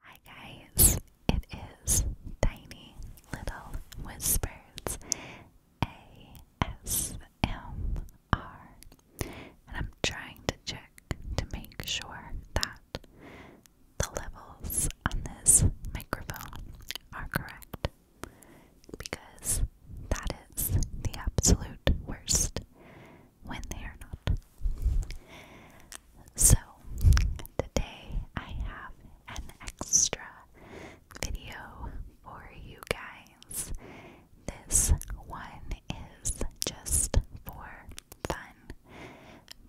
Hi guys, it is Tiny Little Whispers ASMR, and I'm trying to check to make sure that the levels on this microphone are correct because that is the absolute worst when they are not. So, today I have an extra video for you guys. This one is just for fun,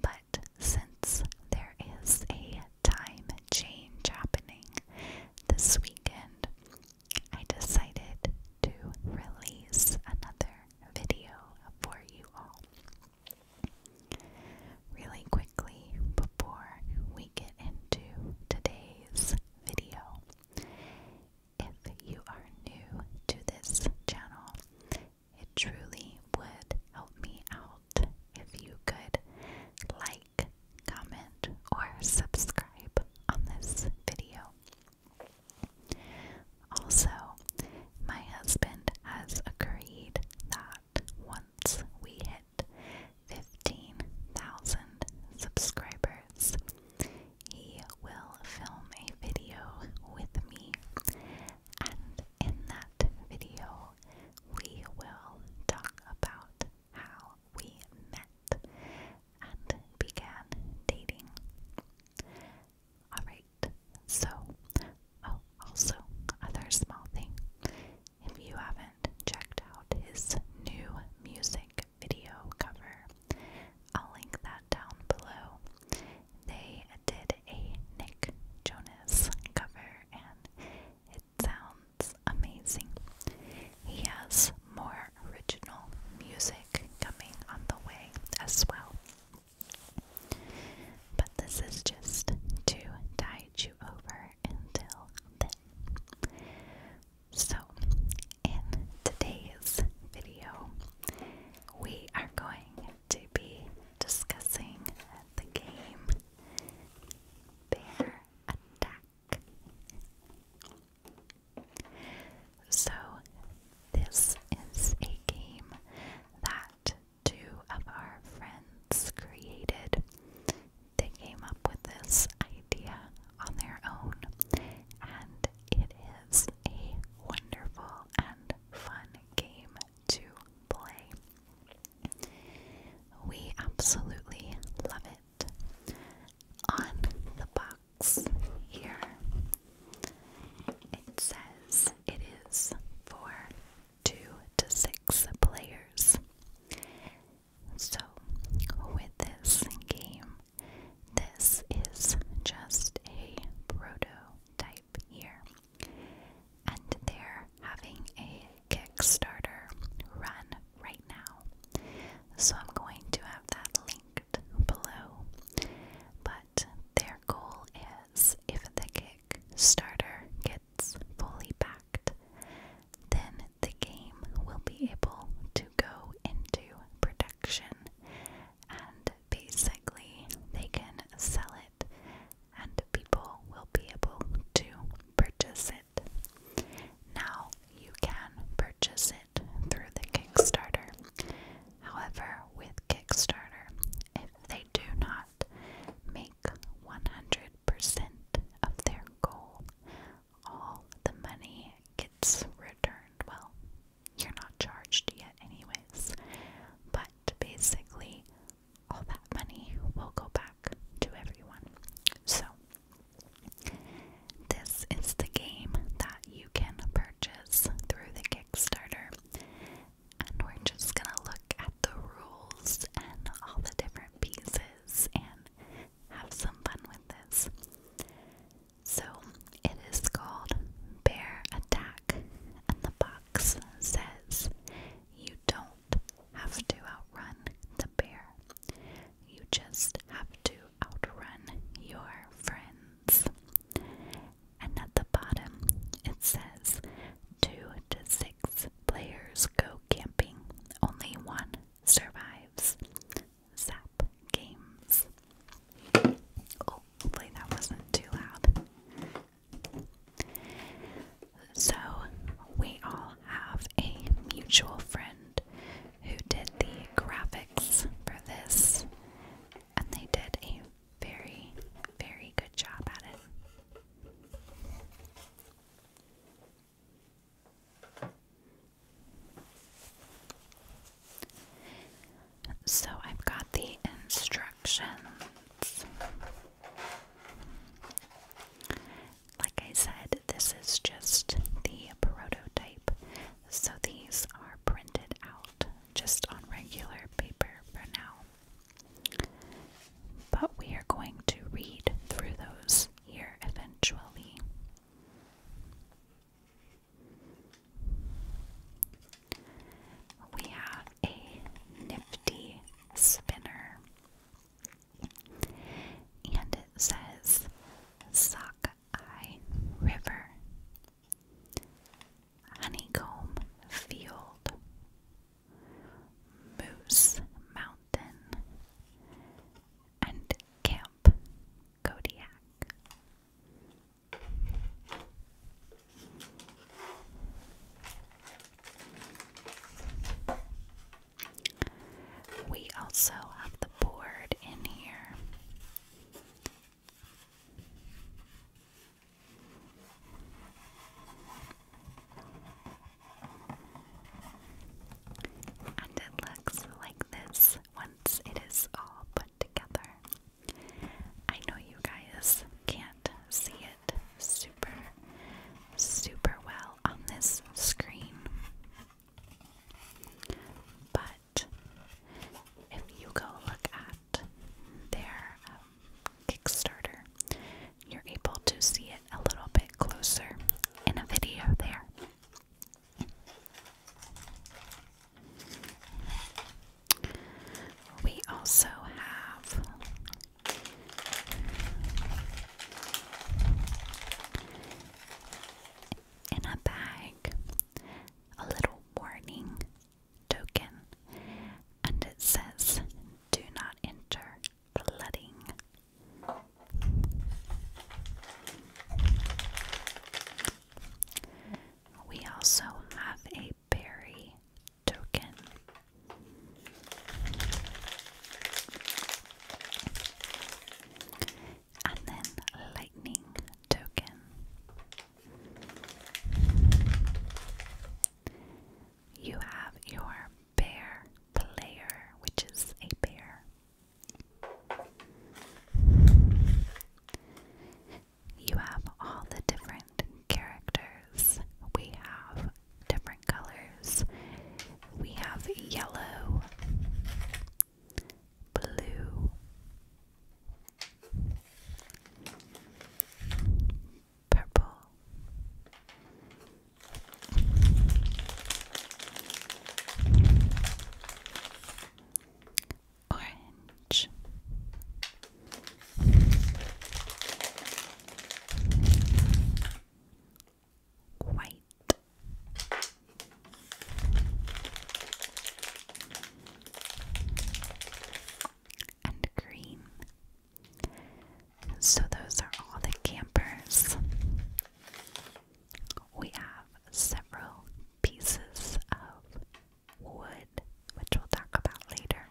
but since there is a time change happening this weekend, I decided to release another video for you all. Really quickly before we get into today's video, if you are new to this channel, it truly would help me out if you could like, comment, or subscribe on this video. Also, my husband has agreed that once we hit 15,000 subscribers, he will film a video with me, and in that video, we will talk about how we met and began dating. Alright, so, oh, also, other small thing. If you haven't checked out his new music video cover, I'll link that down below. They did a Nick Jonas cover and it sounds amazing. He has more original music coming on the way as well. But this is just to tide you over until then. So, in today's video, we are going to be discussing the game Bear Attack. So, this is a game that two of our friends created. They came up with this idea on their own, and it is a wonderful and fun game to play. We absolutely love it. On the box here, it says it is for two to six players. So, with this game, this is just a prototype here. And they're having a Kickstarter run right now. So I'm going to have that linked below. But there goal is if the kick gets fully backed, then the game will be able to go into production and basically they can sell it and people will be able to purchase it. Now you can purchase it through the Kickstarter. However, with Kickstarter, if they do not make 100% of their goal, all the money gets returned. Well, you're not charged yet, anyways, but basically, all that money will go back to everyone. So, this is the game that you can purchase through the Kickstarter and we're just gonna look at the rules and all the different pieces and have some fun with this. So, it is called Bear Attack, and the box says you don't have to outrun the bear, you just have to outrun your friends and at the bottom it says two to six players go camping, only one survives. Zap Games. Oh, hopefully that wasn't too loud. So, we all have a mutual friend who did the graphics for this, and they did a very, very good job at it. So I've got the instructions. Like I said, this is just the prototype, so these are printed out just on regular paper for now. But we are going to read through those here eventually. We have a nifty spinner, and it says Sockeye River. Honeycomb Field, Moose Mountain, and Camp Kodiak. We also have the board in here. And it looks like this once it is all put together. I know you guys can't see it super, super well on this screen, but if you go look at their um, Kickstarter, you're able to see it a little bit closer in a video there. We also have in a bag a little warning token and it says, Do not enter flooding. We also have a berry token. And then lightning token. You have your bear player, which is a bear. You have all the different characters. We have different colors. We have yellow, blue, Purple. Orange. White and green. So, those are all the campers. We have several pieces of wood, which we'll talk about later.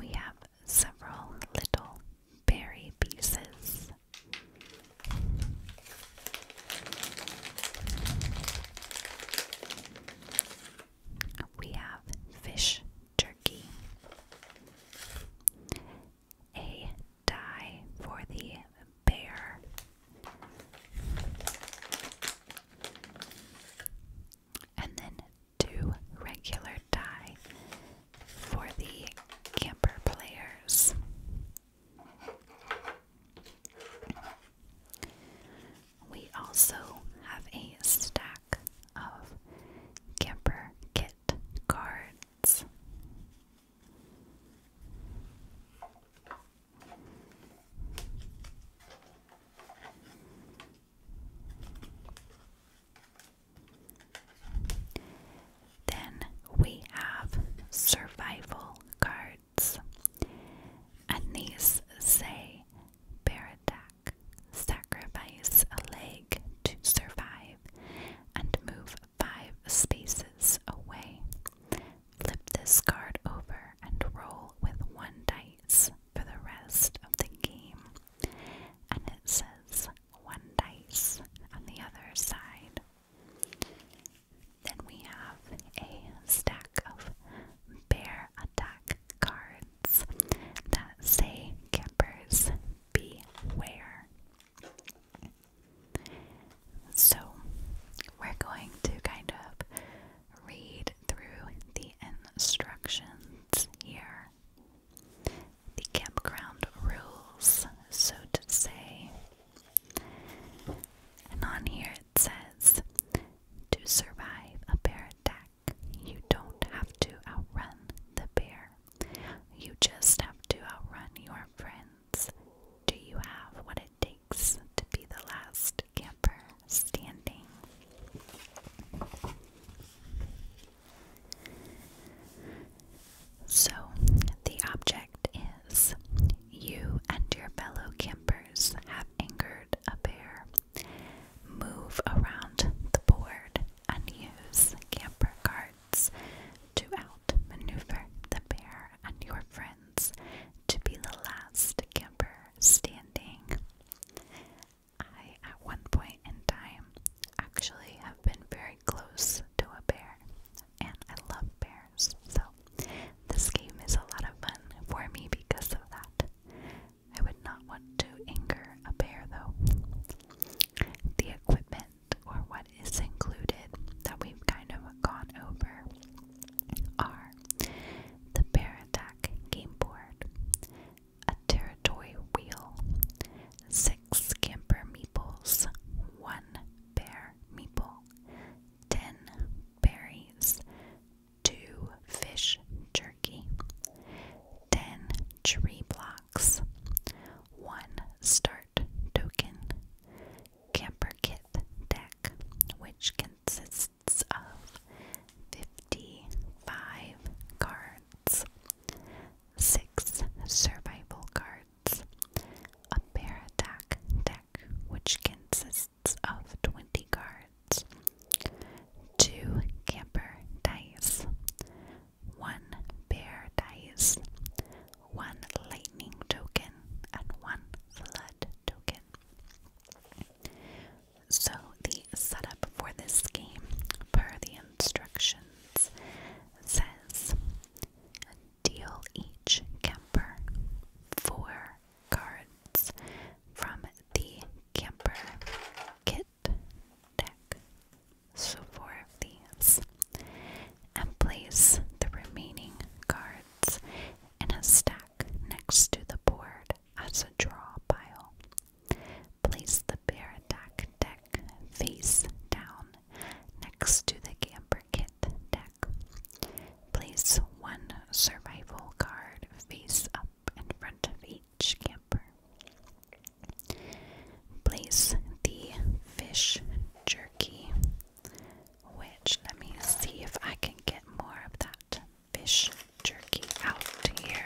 We have several little berry pieces. We have fish jerky, a die for the bear, and then two regular die for the camper players. We also have a stack of camper kit cards. Then we have survival cards, and these say bear sacrifice a leg to survive, and move five spaces away. Flip this card over and roll with one dice for the rest of the game. And it says one dice on the other side. Then we have a stack of bear attack cards that say campers beware. So we're going to kind of read through the instructions here the campground rules, so to say. And on here it says to survive a bear attack, you don't have to outrun the bear. You just have to outrun your friends. Do you have what it takes to be the last camper standing? So, the object is you and your fellow campers have angered a bear. Move around the board and use camper carts to outmaneuver the bear and your friends to be the last camper standing. I, at one point in time, actually have been very close to a bear, and I love bears, so this game is a lot of fun for me because of that. I would not want to anger a bear though. The equipment, or what is included, that we've kind of gone over are the Bear Attack Game Board, a territory wheel, six camper meeples, one bear meeple, ten berries, two fish jerky, ten tree blocks, one start token, camper kit deck, which consists of 55 cards, six survival cards, a bear attack deck, which consists of 20 cards, two camper dice, one bear dice, one lightning token, and one flood token. So, the setup for this game, per the instructions, says deal each camper four cards from the camper kit deck. So four of these. And place the remaining cards in a stack next to the board as a draw pile. Place the bear deck face down next to the camper kit deck. Place one survival card face up in front of each camper. Place the fish jerky, which let me see if I can get more of that fish jerky out here.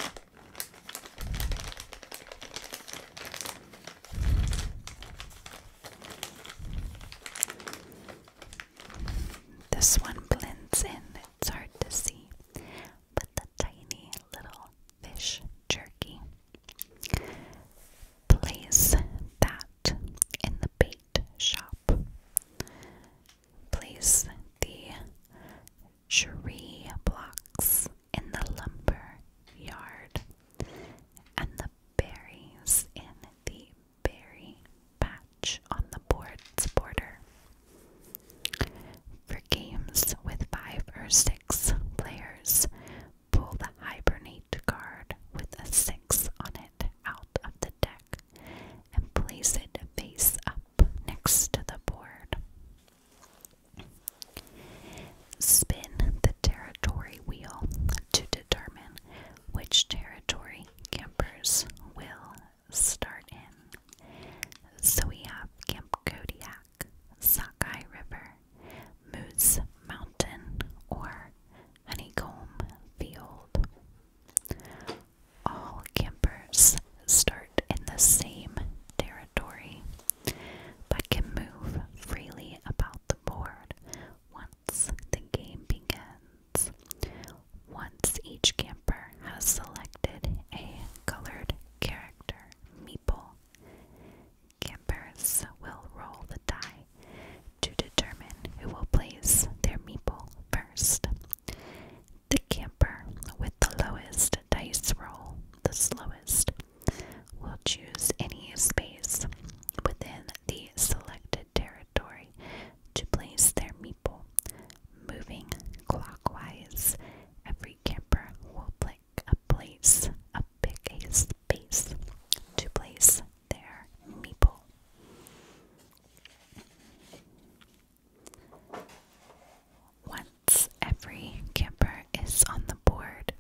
This one blends in, it's hard to see, but the tiny little fish jerky. Place that in the bait shop. Place the tree blocks in the lumber yard and the berries in the berry patch on the board's border. For games with five or six players, pull the hibernate card with a six on it out of the deck and place it face up next to the board. Spin the territory wheel to determine which territory campers will start in. So we have Camp Kodiak, Sakai River, Moose Mountain, or Honeycomb Field. All campers start in the same territory but can move freely about the board once the game begins. Once each camper has selected a colored character, meeple, campers will roll the die to determine who will place their meeple first. The camper with the lowest dice roll the slowest will choose any space within the selected territory to place their meeple. Moving clockwise, every camper will pick a place, a big a space to place their meeple. One every camper is on the board,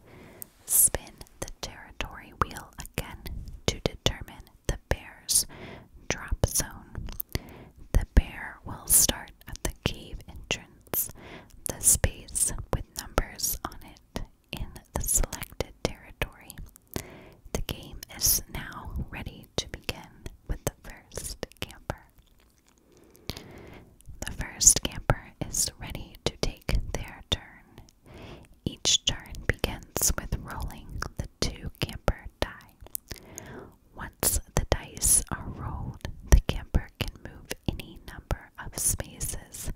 spin the territory wheel again to determine the bear's drop zone. The bear will start at the cave entrance, the space with numbers on it in the selected territory. The game is now ready to begin with the first camper. The first camper is ready to take their turn. Each turn begins with rolling the two camper die. Once the dice are rolled, the camper can move any number of spaces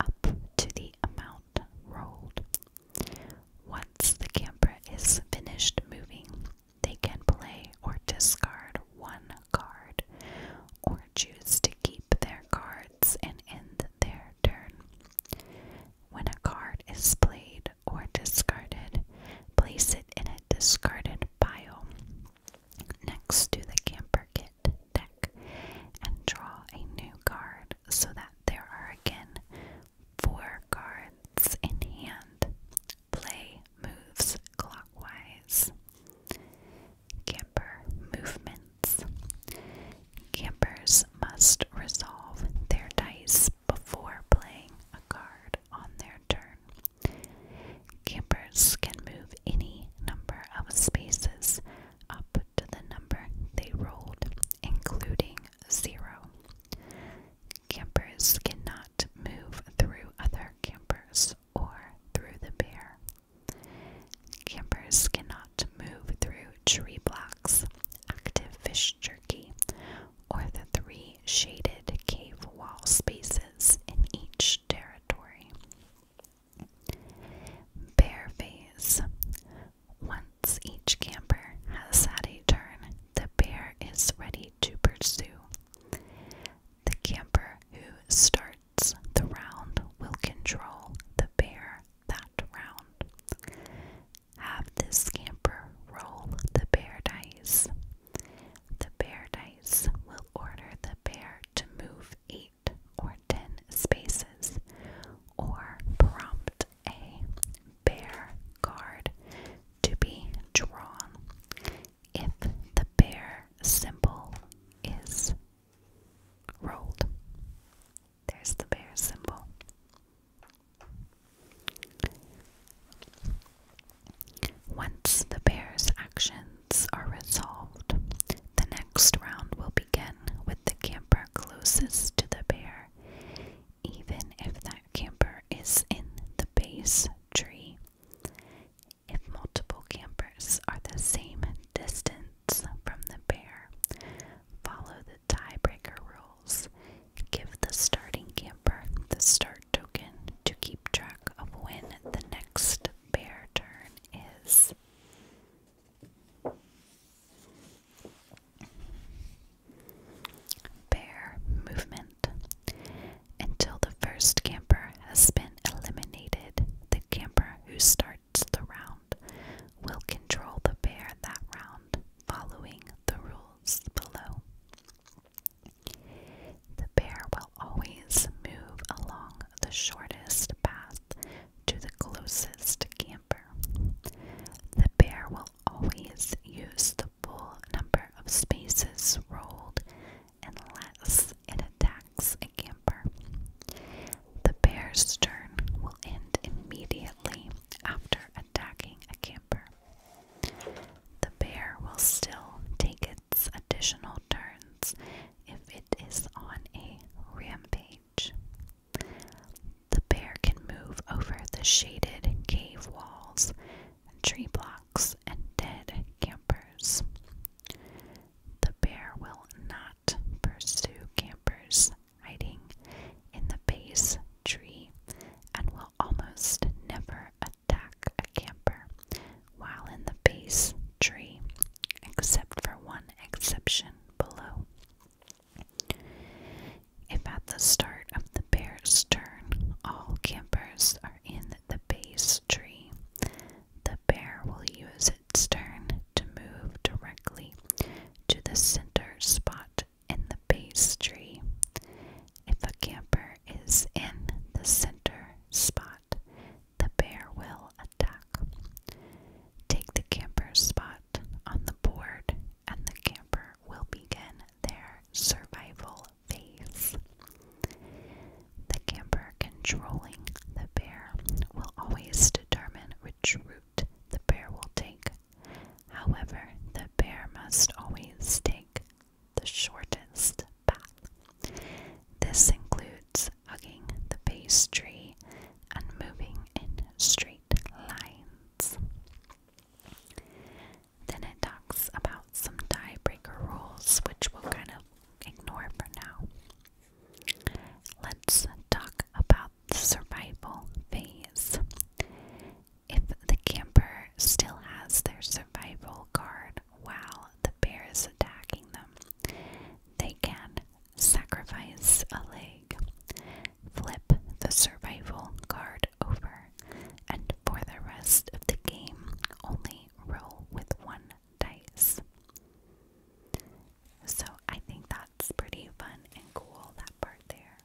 up to the amount rolled. Once the camper is finished moving, they can play or discard one card, or choose to keep their cards and end their turn. When a card is played or discarded, place it in a discarded pile next to the Camper Kit deck and draw a new card so that there are again four cards in hand. Play moves clockwise. Camper movements. Campers must resolve their dice before playing a card on their turn. Campers can move any number of spaces up to the number they rolled, including zero. Campers cannot move through other campers or through the bear. Campers cannot move through tree blocks, active fish jerky, or the three shaded cave wall spaces in each territory. Bear phase. Once each camper has had a turn, the bear is ready to pursue. The camper who starts the round will control the bear that round. Have this camper roll the bear dice. The bear dice will order the bear to move eight or ten spaces or prompt a bear card to be drawn if the bear symbol is rolled. There's the bear symbol. Once the bear's actions are resolved, the next round will begin with the camper closest to the bear, even if that camper is in the base tree. If multiple campers are the same distance from the bear, follow the tiebreaker rules. Give the starting camper the start token to keep track of when the next bear turn is. Bear movement until the first camper has been eliminated, the camper who starts the round will control the bear that round, following the rules below. The bear will always move along the shortest path to the closest camper. The bear will always use the full number of spaces rolled unless it attacks a camper. The bear's turn will end immediately after attacking a camper. The bear will still take its additional turns if it is on a rampage. The bear can move over the shaded cave walls tree blocks, and dead campers. The bear will not pursue campers hiding in the base tree and will almost never attack a camper while in the base tree, except for one exception below. If at the start of the bear's turn all campers are in the the base tree. The bear will use its turn to move directly to the center spot in the base tree. If a camper is in the center spot, the bear will attack. Take the camper's spot on the board and the camper will begin their survival phase. The camper controlling the bear will always determine which route the bear will take. However, the bear must always take the shortest path. This includes hugging the base tree and moving in straight lines. Then it talks about some tiebreaker rules, which we'll kind of ignore for now. Let's talk about the survival phase. If the camper still has their survival card while the bear is attacking them, they can sacrifice a leg, flip the survival card over, and for the rest of the game, only roll with one dice. So I think that's pretty fun and cool, that part there.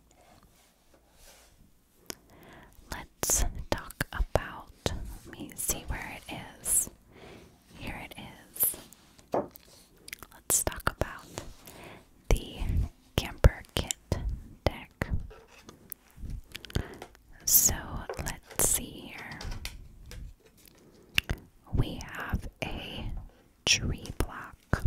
Let's talk about, let me see where it is. Here it is. Let's talk about the Camper Kit deck. So let's see here. We have a tree block.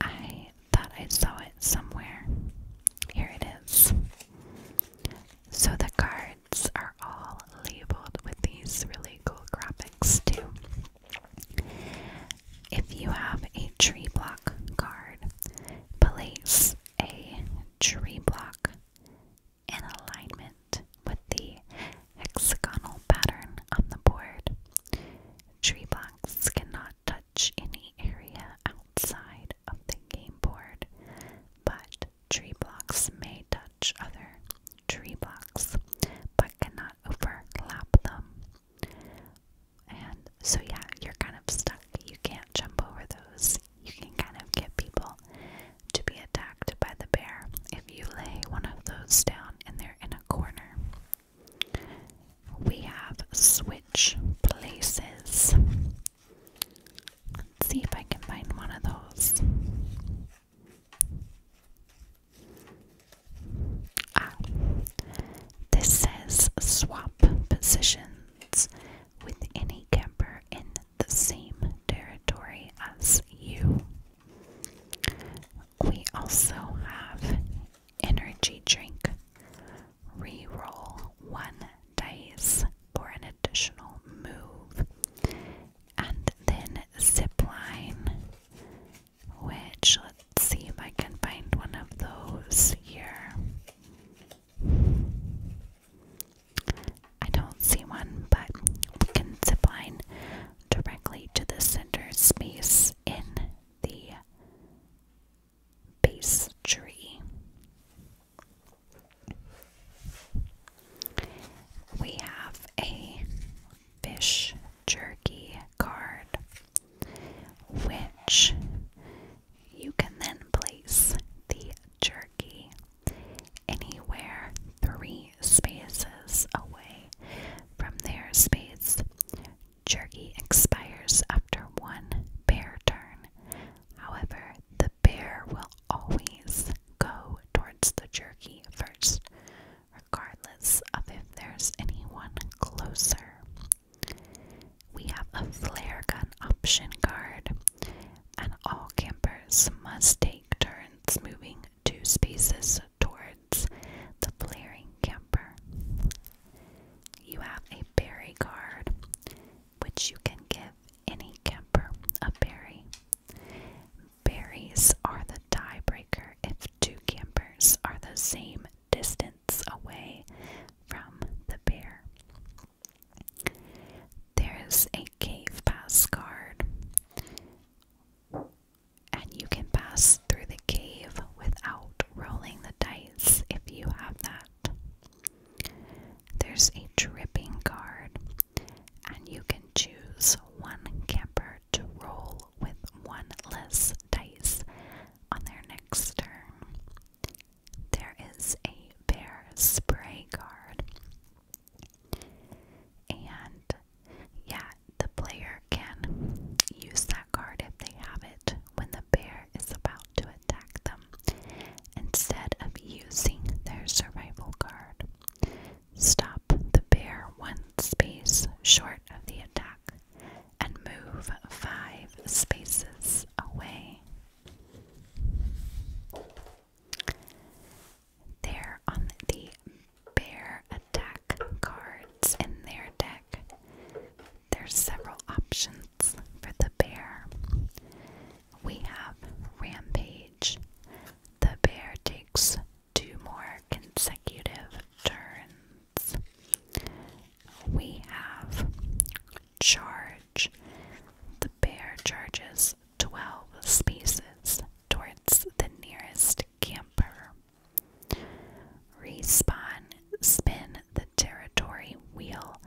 I thought I saw it somewhere. Here it is. So the cards are all labeled with these really cool graphics, too. If you have a tree block card, place a tree block in alignment with the hexagonal pattern on the board. Tree blocks cannot touch any area outside of the game board, but tree blocks may touch other tree blocks but cannot overlap them. And so, yeah, you're kind of stuck. You can't jump over those. You can kind of get people to be attacked by the bear if you lay one of those down and they're in a corner. We have switch places. Let's see if I can find one of those. Ah, this says swap positions with any camper in the same territory as you. We also have energy drink. Reroll one dice for an additional move. And then zip line which let's see if I can find one of those here. I don't see one, but we can zip line directly to the center space in the base tree. We have a fish jerky card, which you can then place the jerky anywhere three spaces away from their space. Jerky expires after one bear turn. However, the bear will always go towards the jerky first regardless of if there's anyone closer. We have a flare gun option card, and all campers must take turns moving two spaces towards the flaring camper. You have a berry card, which you can give any camper a berry. Berries are the tiebreaker if two campers are the same distance away from the bear. There's a cave pass card, and you can pass through the cave without rolling the dice if you have that. There's a dripping card, and you can choose one camper to roll with one less dice on their next turn. There is a bear spray card. And yeah, the player can use that card if they have it when the bear is about to attack them instead of using their survival card. Stop the bear one space short of the attack and move five spaces away. There on the bear attack cards in their deck, there's several options for the bear. We have Rampage. The bear takes two more consecutive turns. We have charge. The bear charges 12 spaces towards the nearest camper. Respawn, spin the territory wheel,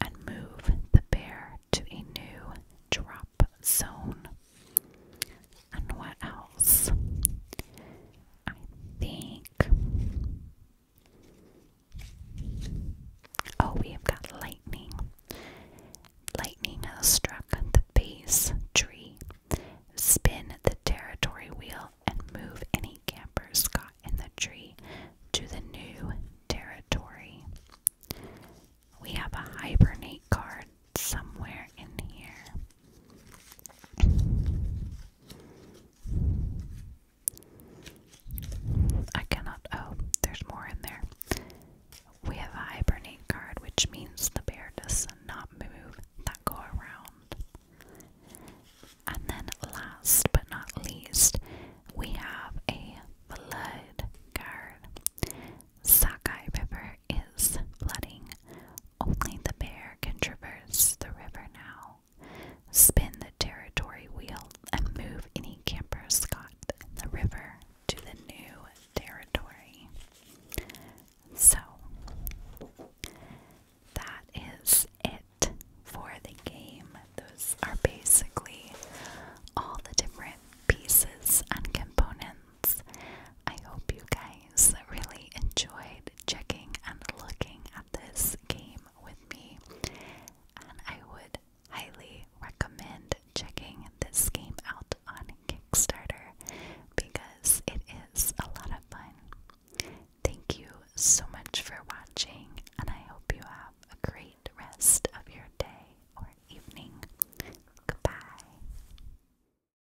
and move the bear to a new drop zone. And what else? I think. Oh, we have got lightning. Lightning has struck the base tree. Spin the territory wheel and move any campers caught in the tree to the new territory. We have a hibernate card somewhere in here. I cannot. Oh, there's more in there. We have a hibernate card, which means the bear does not move that go around. And then, last but not least, we have a flood card. Sakai River is flooding. Only the bear can traverse the river now, spin the territory wheel, and move any campers caught the river to the new territory. So, that is it for the game. Those are basically all the different pieces and components I hope you guys really enjoyed checking and looking at this game with me, and I would highly recommend checking this game out on Kickstarter because it is a lot of fun. Thank you so much for watching, and I hope you have a great rest of your day or evening. Goodbye.